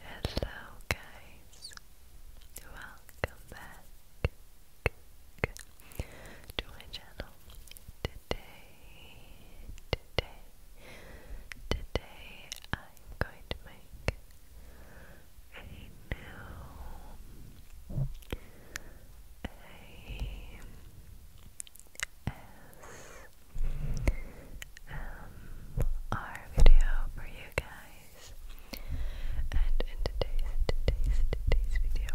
Hello, guys, welcome back to my channel. Today, today, today, I'm going to make a new. A ASMR video for you guys. And in today's, today's, today's video,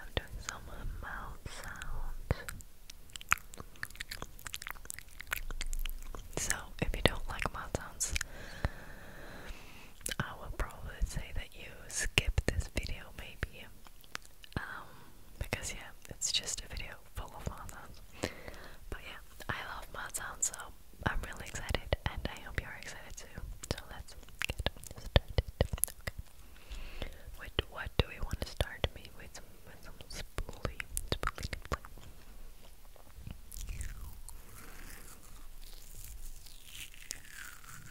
I'm doing some mouth sounds. So, if you don't like mouth sounds, I will probably say that you skip this video maybe um, because yeah, it's just a video full of mouth sounds. But yeah, I love mouth sounds, so I'm really excited, and I hope you're excited too. So let's get started. Okay. With what do we want to start? Maybe with some with some spoolie, spoolie. Spoolie.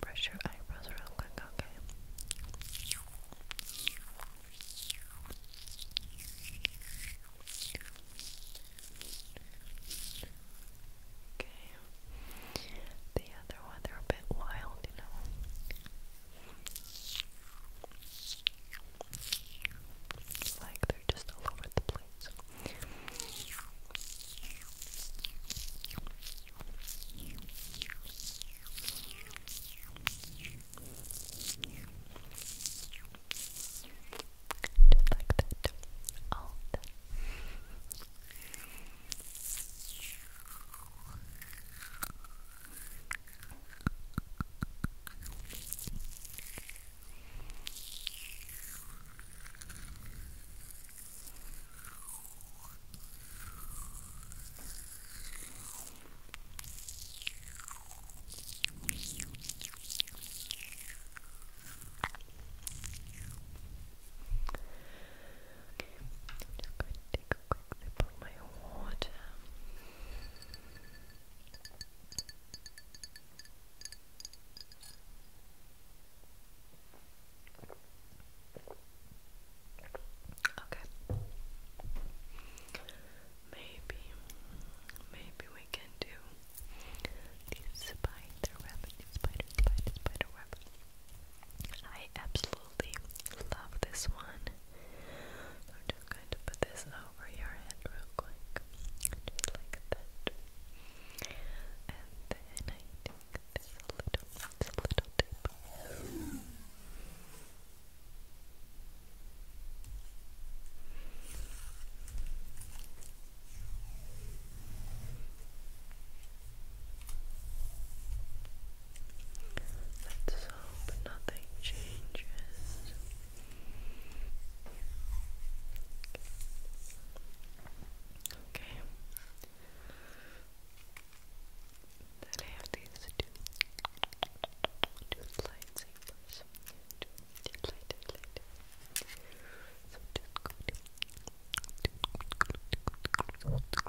brush your eyebrows real quick, okay? Okay. The other one, are a bit wild, you know. like they're just all over the place that. All of that. All Okay, i just going to take a quick sip my water. Okay. Maybe, maybe we can do the spider web, the spider, spider, spider web. I absolutely love this one. I'm just going to put this over your head real quick, just like that. And then I take this little, this little tape. Let's hope nothing changes. Okay that I have these two, two lightsabers. Two, two light, light, light. So just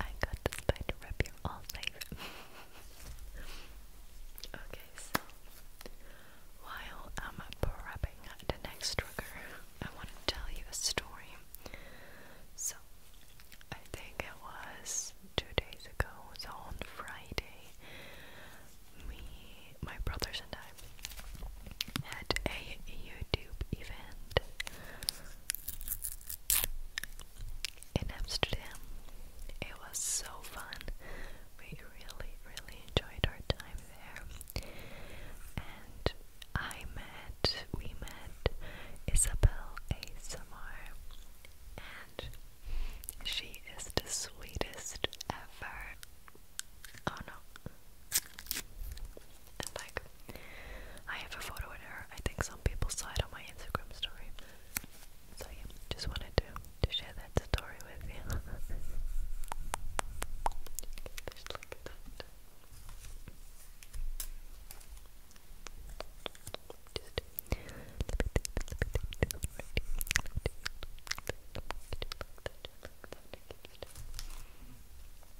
I got the spider web, you all safe. okay, so while I'm prepping the next trigger, I want to tell you a story. So, I think it was two days ago, It was on Friday, me, my brothers and I had a YouTube event in Amsterdam. It was so fun. We really, really enjoyed our time there. And I met, we met Isabel ASMR, and she is the sweetest ever. Oh no like, I have a photo with her. I think some people saw it on my Instagram story. So yeah, just wanted to, to share that story with you.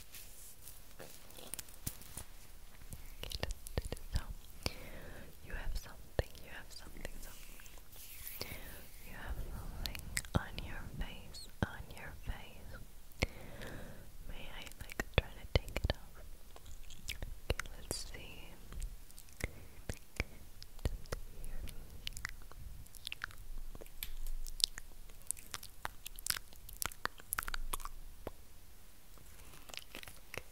So you have something, you have something, You have something on your face, on your face. May I like try to take it off? Okay, let's see. Good, good,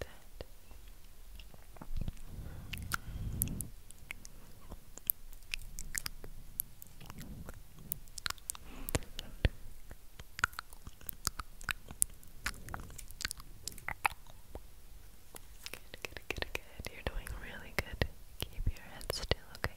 good, good. You're doing really good. Keep your head still, okay?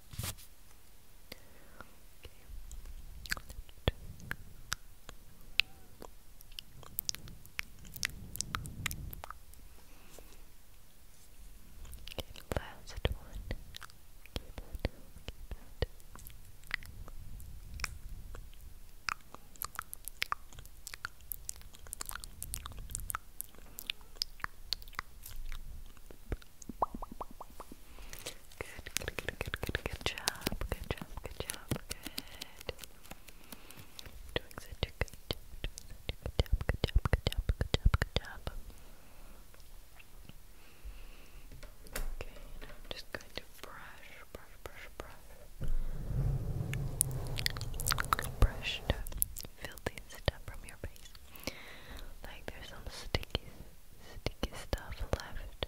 Okay, last one. Keep it, keep it. Okay. Good, good, good, good, good, good job, good job, good job, good. Doing such a good job, doing such a good job, good job, good job, good job, good job. Okay, and I'm just going to brush, brush, brush, brush. Brush to feel the stuff from your face. Like there's some sticky, sticky stuff left.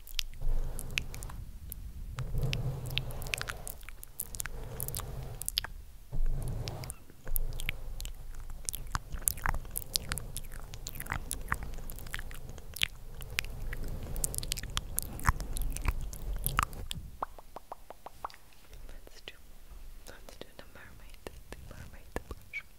Let's do let's do the mermaid, the mermaid brush. Let's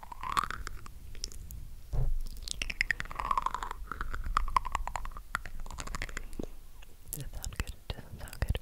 Does it sound good? Does it sound good?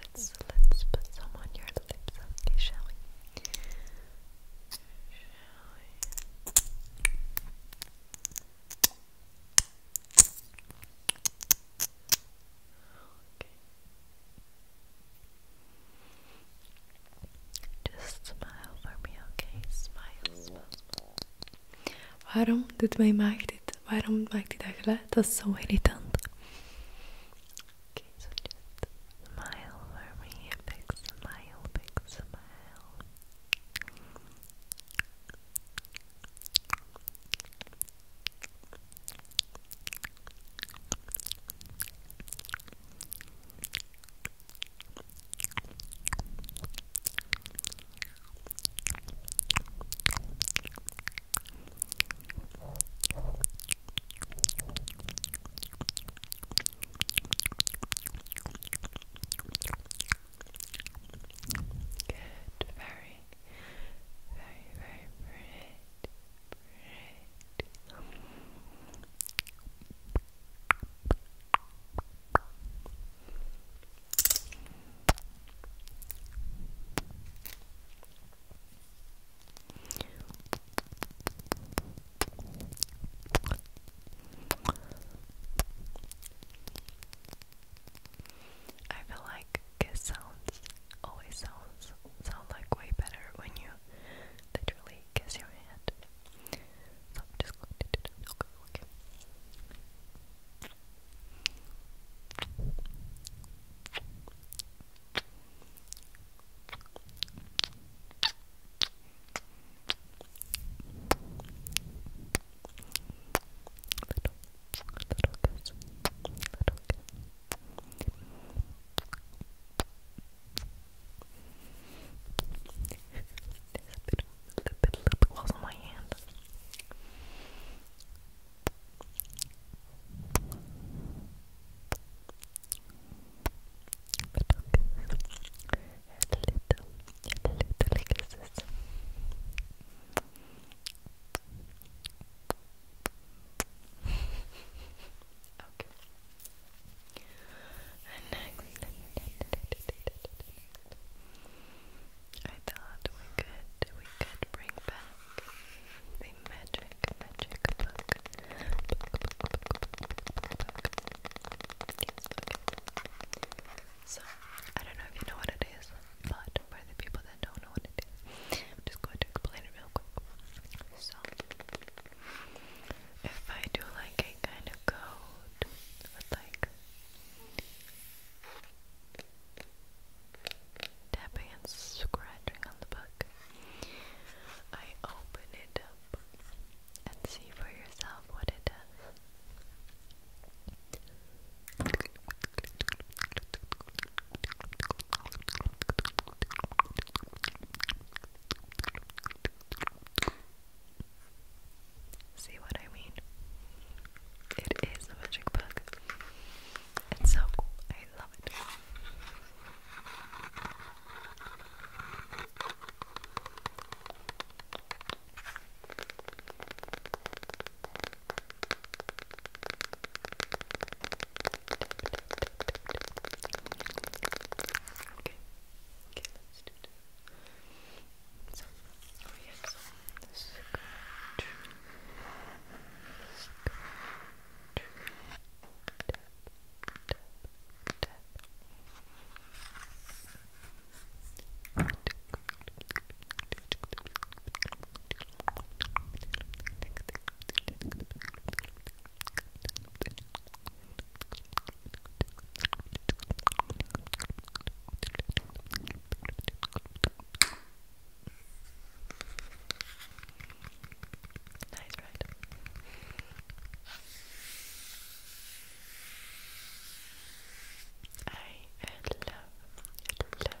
Let's let's put some on your lips, okay, shall we? Shall we? Okay. Okay. Just smile for me, okay? Smile, smile, smile. Waarom doet mijn maag dit? Waarom maakt hij dat geluid? Dat is zo irritant. Okay, so just smile for me. A big smile, big smile. Good, very looking very, very pretty. Pretty. I feel like kiss sounds always sounds sound like way better when you literally kiss your hand. So I'm just going to do that. Okay, little kiss, kisses. Little, kisses. Little, little Little, little kisses. Little, little kisses. Little, kisses. Little, little Little, kisses okay. And next, I thought we could we could bring back the magic magic book. book, book, book, book, book. Yes, okay. So I don't know if you know what it is. But for the people that don't know what it is, I'm just going to explain it real quick. So, if I do like a kind of code with like tapping and scratching on the book, I open it up and see for yourself what it does. See what I mean? It is a magic book. It's so cool. I love it. Okay. Okay, let's do this. So, oh yeah, so scratch. Scratch. Tap, tap, tap. Nice, right? I love, love,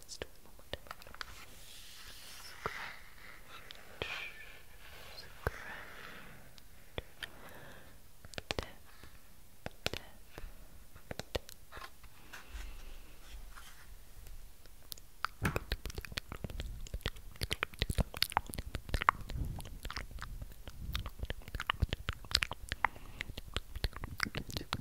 just one more time. Scratch, scratch, tap, tap, tap. Just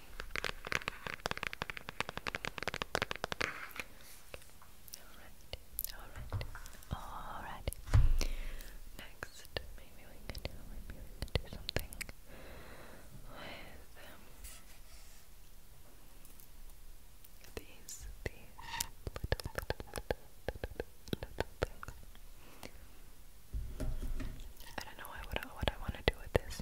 Alright, alright, alright. Next, maybe we can do something with um, these these I don't know what I want to do with this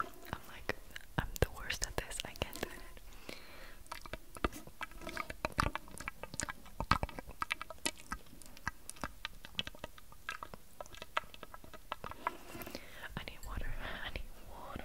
I'm like, I'm the worst at this, I can't do it. I need water, I need water.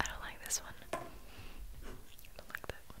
I don't like this one. I don't like that one.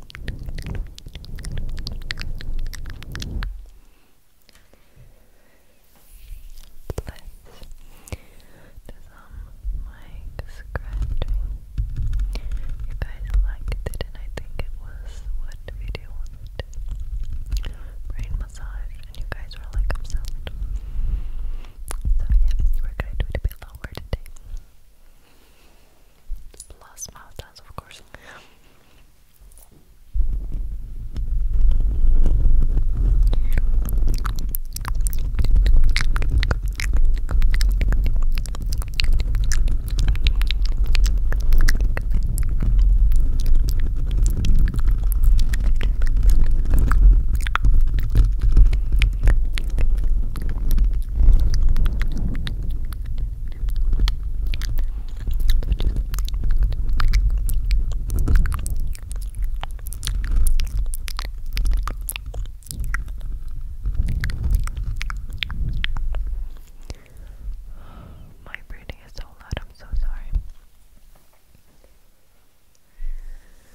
do some um, mic scratching. You guys liked it, and I think it was what video was it? Brain massage, and you guys were like obsessed. So yeah, we're gonna do it a bit lower today. Plus mouth dance, of course. My breathing is so loud, I'm so sorry.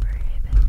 Breathing.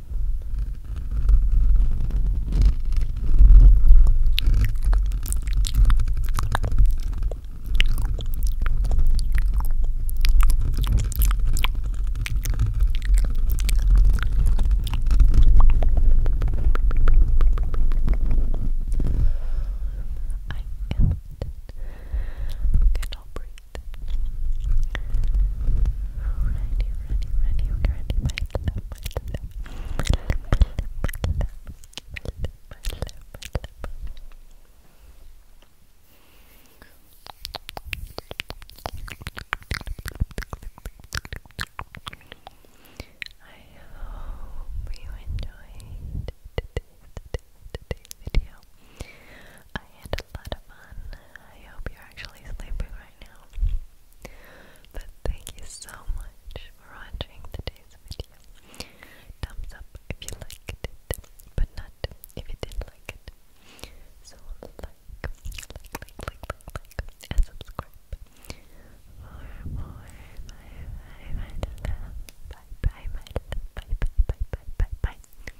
cannot breathe. Ready, ready, ready, ready, my I hope you enjoyed today's, video. I had a lot of fun. I hope you're actually sleeping but thank you so much for watching today's video. Thumbs up if you liked it, but not if you didn't like it. So like, like, like, like, like, like, and subscribe for more. My, my, my love. Bye, bye, Bye, bye, bye, bye, bye, bye.